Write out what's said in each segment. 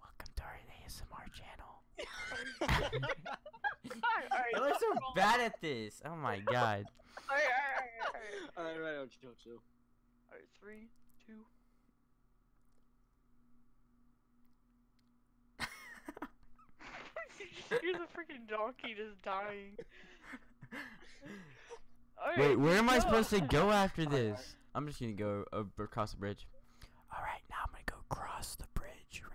Welcome to our ASMR channel. I look so bad at this. Oh my god. alright, alright, alright. Alright, right, chill, chill. Alright, three, two. You're the freaking donkey just dying. Right, Wait, where am I supposed to go after this? I'm just gonna go across the bridge. Alright, now I'm gonna go cross the bridge. Ready?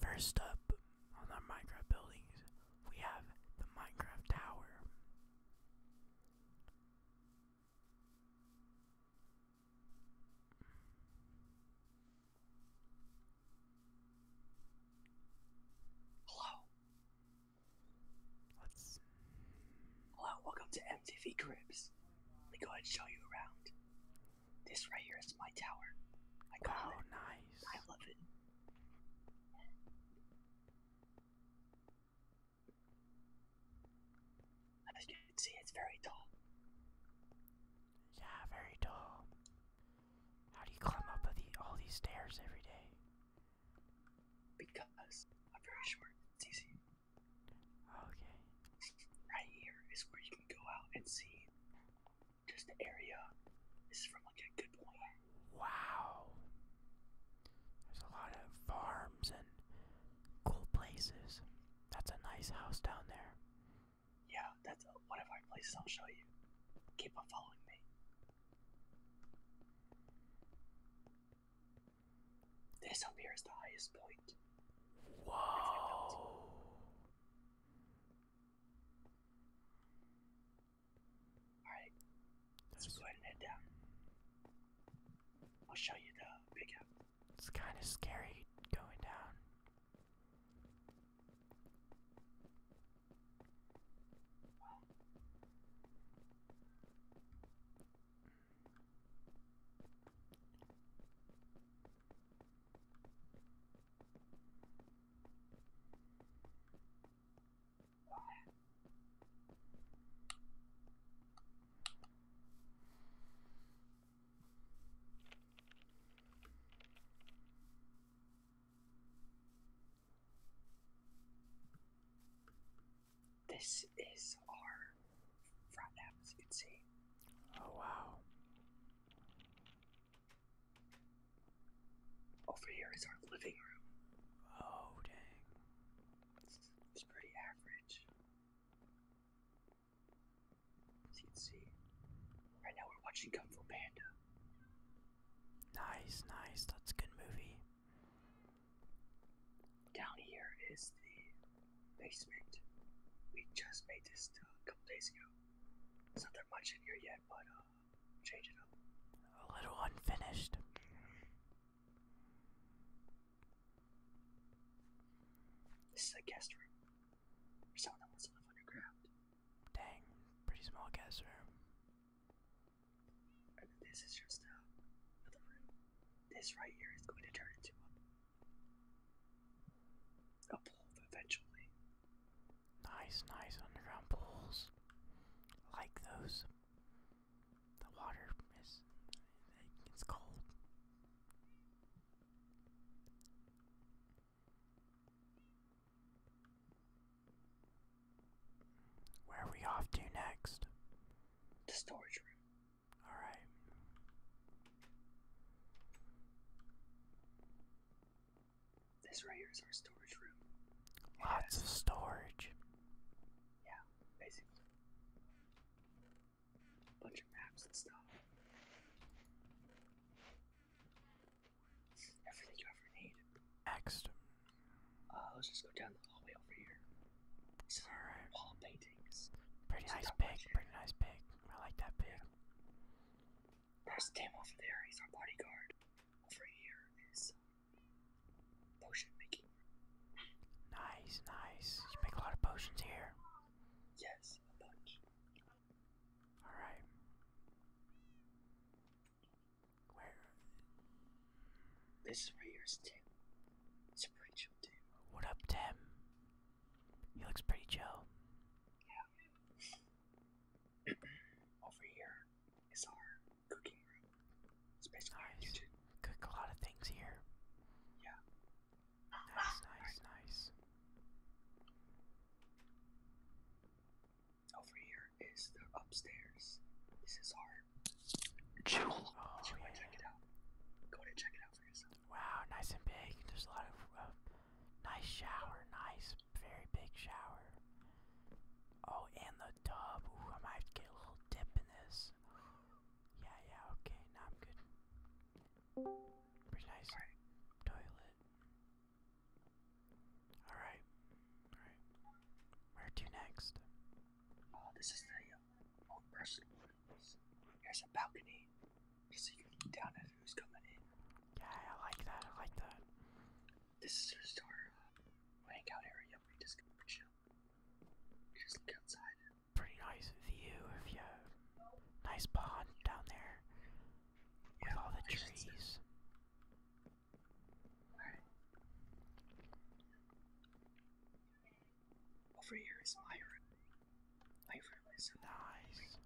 First up on our Minecraft buildings, we have the Minecraft Tower. Hello. let Hello, welcome to MTV Cribs. Let me go ahead and show you around. This right here is my tower. I nice. I love it. As you can see, it's very tall. Yeah, very tall. How do you climb up all these stairs every day? Because I'm very short. It's easy. Okay. Right here is where you can go out and see just the area. This is from like a good point. Wow. There's a lot of farms and cool places. That's a nice house down there. Yeah, that's one of our places I'll show you. Keep on following me. This up here is the highest point. Whoa. Alright, let's go ahead and head down. I'll show you the big house. It's kind of scary going down. This is our front lab, as you can see. Oh wow. Over here is our living room. Oh, dang. It's, pretty average. you can see, right now we're watching Kung Fu Panda. Nice, nice. That's a good movie. Down here is the basement. We just made this a couple days ago. There's not that much in here yet, but uh, change it A little unfinished. This is a guest room. For someone that wants to underground. Dang, pretty small guest room. And this is just uh, another room. This right here is going to turn into a pool eventually. Nice, nice underground pools. Like those. The water is. it's cold. Where are we off to next? The storage room. Alright. This right here is our storage room. Lots of storage. Yeah, basically. bunch of maps and stuff. Everything you ever need. Next. Uh, let's just go down the hallway over here. This wall paintings. Pretty nice pig, pretty nice pig. I like that pig. Yeah. There's Tim over there, he's our bodyguard over here is potion making. Nice, nice. You make a lot of potions here. Yes, a bunch. Alright. Where? This right here is Tim. It's a pretty chill dude. What up, Tim? He looks pretty chill. Yeah. Over here it's our cooking room. It's basically nice. Cook a lot of things here. Yeah. Nice, nice, nice. Over here is the upstairs. This is our jewel. Oh, so yeah. check it out. Go ahead and check it out for yourself. Wow, nice and big. There's a lot of uh, Nice shower, nice, very big shower. Oh, and the tub. Ooh, I might get a little dip in this. Yeah, yeah, okay, now I'm good. Pretty nice toilet. Alright, alright. Where to next? Oh, this is the uh, old person. Here's a balcony, just so you can look down at who's coming in. Yeah, I like that, I like that. This is just our uh, hangout area. just chill. just look outside. Pretty nice view of you. Nice pond down there. with all the trees. Over here is my room. My room is uh, nice.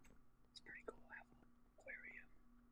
It's pretty cool. have an aquarium.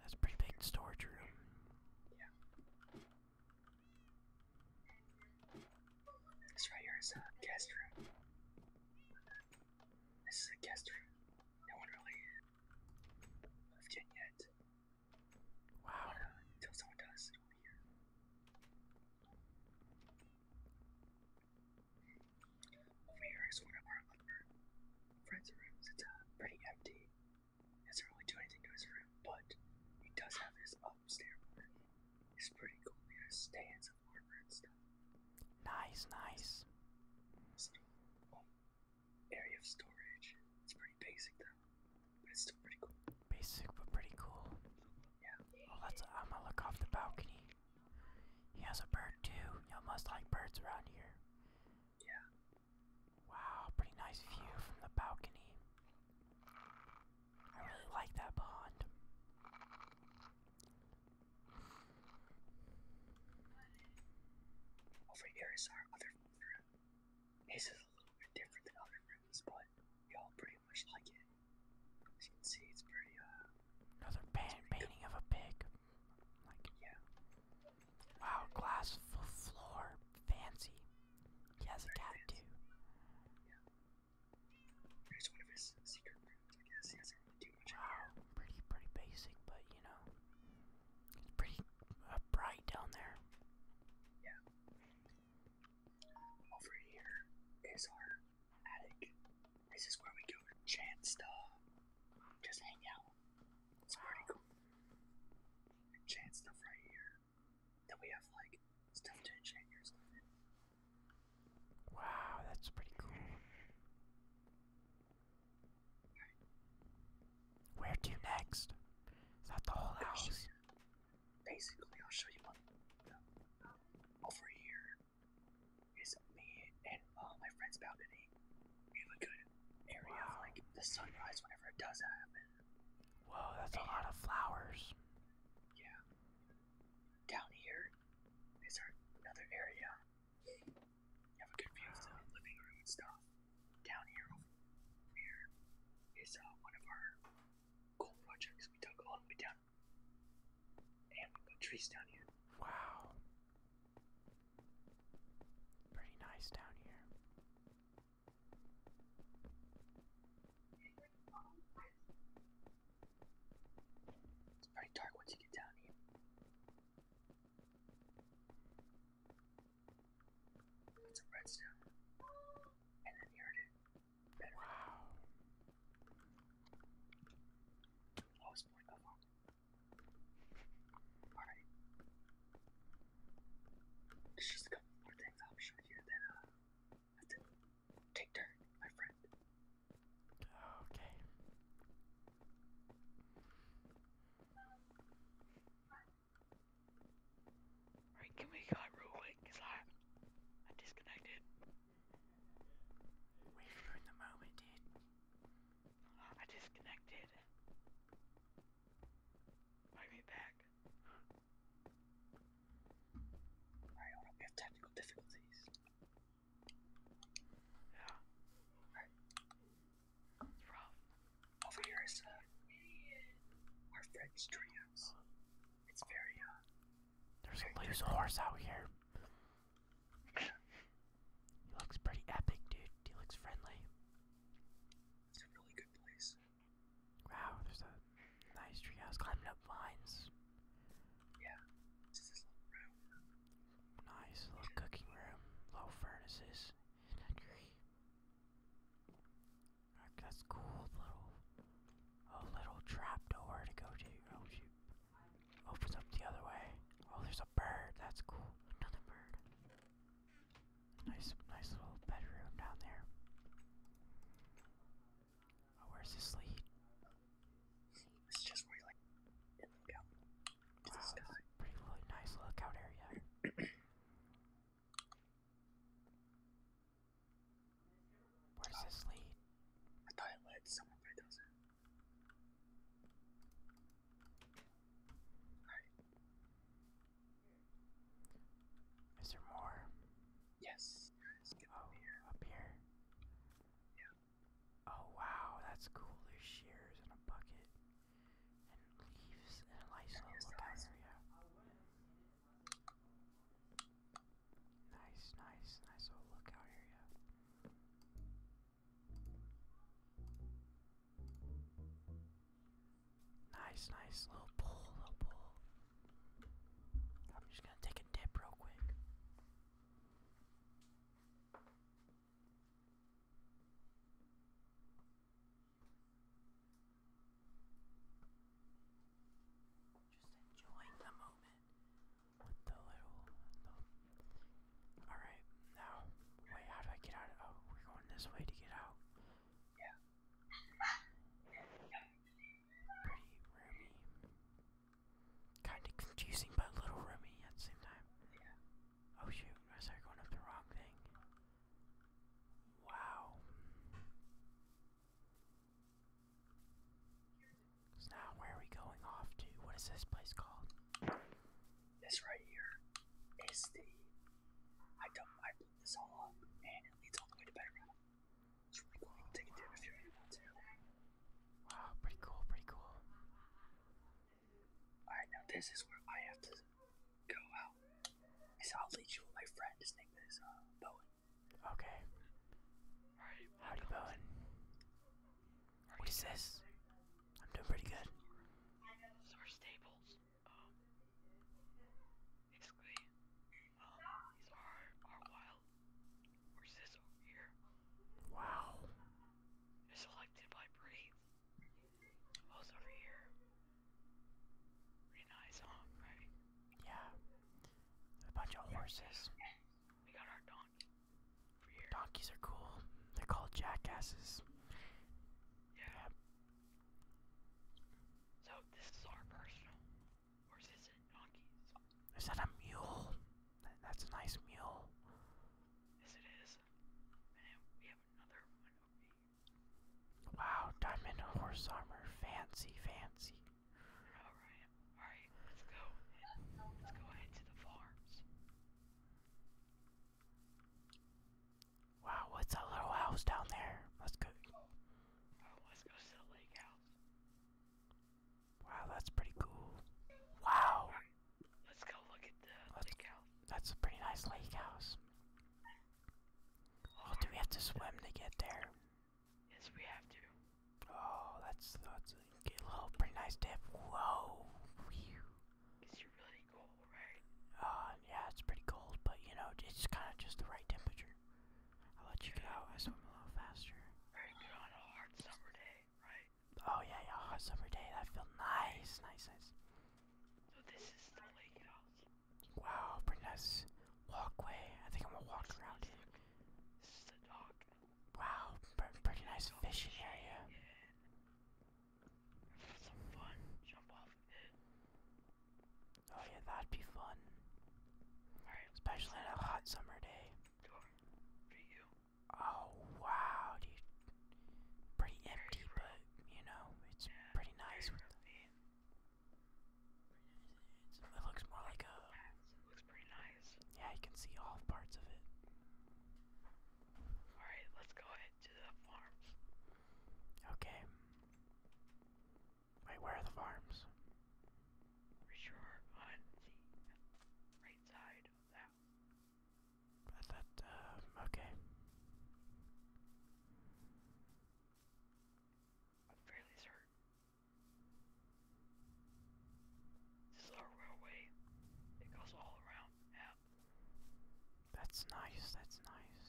That's pretty big storage room. Yeah. This right here is a guest room. This is a guest room. No one really moved in yet. Wow. Uh, until someone does over here is one of our upper friend's rooms. It's uh, pretty empty. Doesn't really do anything to his room, but he does have his upstairs room. It's pretty cool. He has stands of armor and stuff. Nice, nice. This um, area of storage. It's pretty basic though, but it's still pretty cool. Basic but pretty cool. Yeah. Well, oh, that's. I'm gonna look off the balcony. He has a bird too. You must like birds around here. Yeah. Wow, pretty nice view from the balcony. I really like that pond. Over here is our other room. This is a little bit different than other rooms, but we all pretty much like it. As you can see, it's pretty, uh... Another pan painting of a pig. Like, yeah. Wow, glass floor. Fancy. He has a cat too. Wow, pretty, pretty basic, but you know, it's pretty bright down there. Yeah. Over here is our attic. This is where we go to chance to just hang out. It's pretty cool. Enchant stuff right here. Then we have like stuff to enchant your stuff Wow, that's pretty cool. Right. Where to next? Is the whole house? Basically, I'll show you what. Over here is me and all uh, my friends balcony we have a good area like the sunrise whenever it does happen. Whoa, that's a lot of flowers. Yeah. Down here is our another area. You have a good view of the living room and stuff. Down here over here is uh, one of our cool projects we dug all the way down. And we put trees down here. Wow. Pretty nice down here. It's pretty dark once you get down here. That's a redstone. And then here it is. Wow. Lowest point Alright. just a couple more things I'll show you that uh take turn, my friend. Okay. Alright, give me a real quick, cause I I disconnected. We're in the moment, dude. I disconnected. I'll back. Alright, we have technical difficulties. Yeah. Alright. What's wrong? Over here is uh, our friend's treehouse. It's very, uh, There's a loose horse out here he looks pretty epic, dude. He looks friendly. It's a really good place. Wow, there's a nice tree climbing up vines. Yeah, this is this little room. Nice little cooking room, low furnaces, that's cool, a little trap door to go to. Oh shoot! Opens up the other way. Oh, there's bird. That's cool. Another bird. Nice, nice little bedroom down there. Oh, where's this lead? This is just where you like Wow, pretty really nice lookout area. Where's oh. this lead? I thought it led somewhere, but it Alright. Is there more? Yes, oh, up here. Yeah. Oh wow, that's cool. There's shears and a bucket. And leaves and a Lysol lookout area. Nice, nice, nice little lookout area. Nice, nice little pull, little pull. I'm just gonna take a dip real quick. Just enjoying the moment with the little, Alright, now, wait, how do I get out? oh, we're going this way to get out. Yeah. Pretty roomy. Kind of confusing, but a little roomy at the same time. Yeah. Oh shoot, I going up the wrong thing. Wow. now, where are we going off to? What is this place called? This right here is the I don't I blew this all up and it leads all the way to bedrock. It's really cool. take a dip if you're able to. Wow, pretty cool, pretty cool. Alright, now this is where I have to go out. So I'll lead you with my friend. His name is uh, Bowen. Okay. Alright. Howdy, Bowen. What is this? I'm doing pretty good. Um, um, wow. selected by breeds. Those over here. Pretty nice, huh? Right? Yeah. A bunch of horses. We got our donkey. Donkeys are cool. They're called jackasses. Yeah. So this is our personal, or is donkey's? Is that a mule? that's a nice mule. Yes, it is. Wow, diamond horse armor, fancy, fancy. All right, all right, let's go. Let's go ahead to the farms. Wow, what's that little house down there? Let's let's go to the lake house. Wow, that's pretty cool. Wow. let's go look at the lake house. That's a pretty nice lake house. Oh, do we have to swim to get there? Yes, we have to. Oh, that's that's a little pretty nice dip. Whoa. Because pretty cool, right? Uh, yeah, it's pretty cold, but you know, it's kind of just the right temperature. I'll let you yeah. get out. I swim a little faster. Very good on a hard summer day, right? Oh yeah, yeah, hot summer day. That felt nice, nice, nice. So this is the lake house. Wow, pretty nice walkway. I think I'm gonna walk this around here. This is the dock. Wow, pretty nice fishing area. Yeah it. Oh yeah, that'd be fun. Alright. Especially on a hot summer day. Oh wow, Pretty empty, but you know, it's pretty nice It looks more like a. Yeah, you can see all parts of it. Alright, let's go ahead to the farms. Okay. Wait, where are the farms? Reach on the right side of that. I um, okay. fairly certain. This is our railway. It goes all around that's nice, that's nice.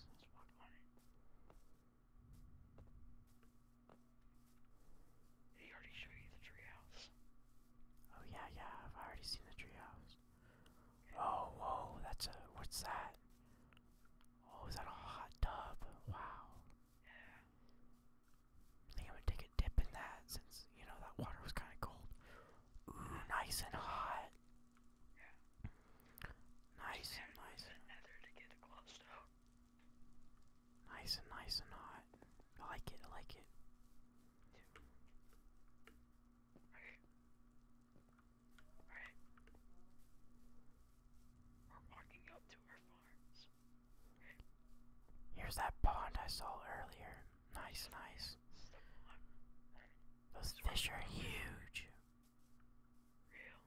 he already show you the treehouse? Oh yeah, yeah, I've already seen the treehouse. Oh, whoa, that's a, what's that? Oh, is that a hot tub? Wow. Yeah. I think I'm gonna take a dip in that since, you know, that water was kind of cold nice and hot. Yeah. Nice and nice. And Nice and nice and hot. I like it. I like it. right. We're walking up to our farms. Here's that pond I saw earlier. Nice, nice. Those fish are huge. Real.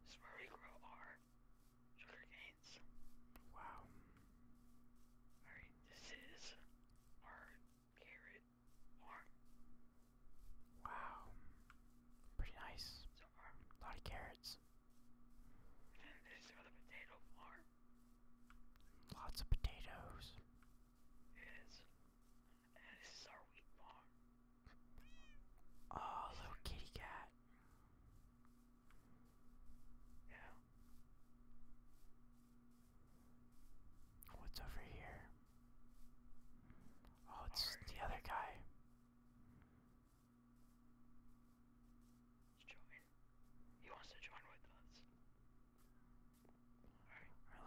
This is our sugar canes. Wow. Alright, this is our carrot farm. Wow. Pretty nice. A lot of carrots. And this is the potato farm. Lots of potatoes. Oh, little kitty cat. Yeah. What's over here? Oh, it's the other guy. Let's join. He wants to join with us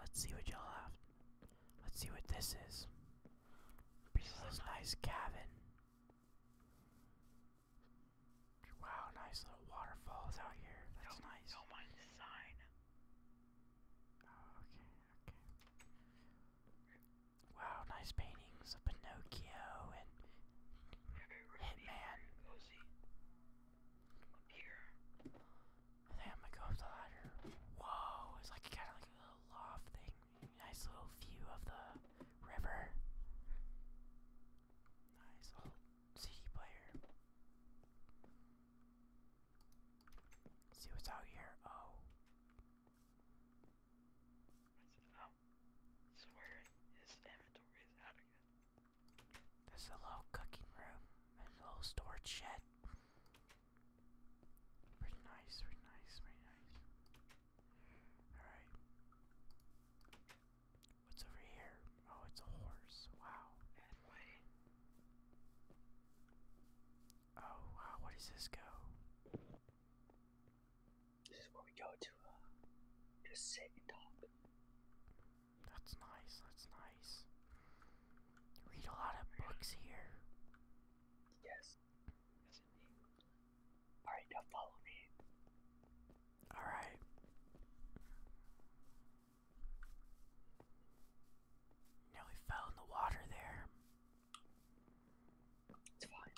let's see what y'all have. Let's see what this is. This nice cabin. Wow, nice little waterfalls out here. That's nice. Don't mind the sign. Oh, okay, Wow, nice paintings of Pinocchio and Hitman. And then I'm gonna go up the ladder. Whoa, it's like kind of like a little loft thing. Nice little view of the river. Nice old CD player. see what's out here. Oh. I said, oh, his inventory is out again. This is a little cooking room and a little storage shed. Pretty nice, pretty nice, pretty nice. Alright. What's over here? Oh, it's a horse. Wow. Oh, wow, where does this go? This is where we go to, uh, sit and talk. That's nice, that's nice. read a lot of books here. Yes. Alright, now follow me. Alright. Now we fell in the water there. It's fine.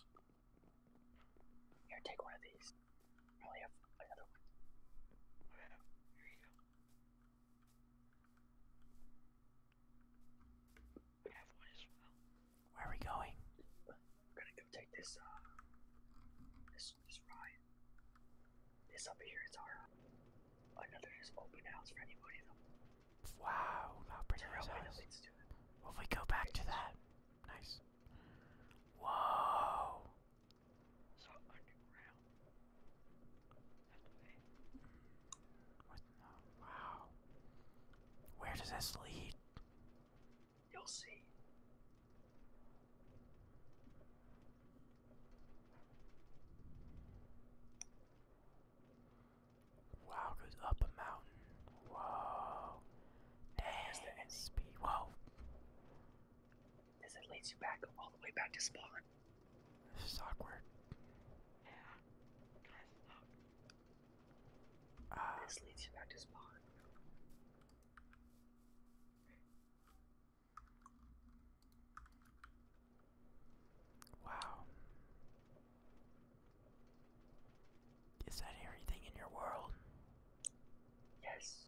Here, take one of these. I only have another one. Here you go. We Where are we going? We're gonna go take this, uh, this, this ride. This up here is our, another just open house for anybody that Wow, that pretty nice if we go back to that, nice. Whoa, so underground. That way. Wow. Where does this lead? You'll see. Wow, goes up a mountain. Whoa. Dang, Whoa. This it leads you back all the way back to spawn. This is awkward. Ah. this leads you back to spawn. Wow. Is that everything in your world? Yes.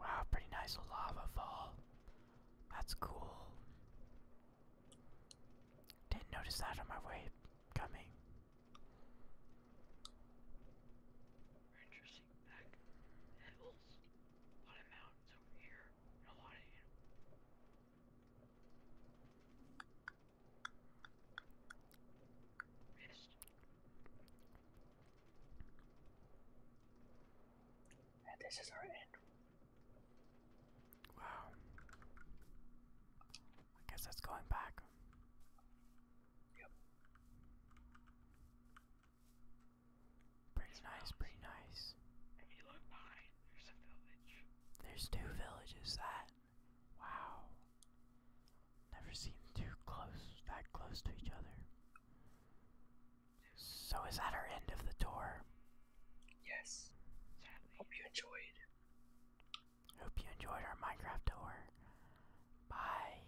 Wow, pretty nice lava fall. That's cool. Didn't notice that on my way coming back hills. A lot of mountains over here and a lot of animals. And this is our end. Wow. I guess that's going back. Yep. Pretty nice, pretty nice. If you look behind, there's a village. There's two villages, that. Wow. Never seen two close, that close to each other. So is that our end of the tour? Yes. Hope you enjoyed. Hope you enjoyed our Minecraft tour. Bye.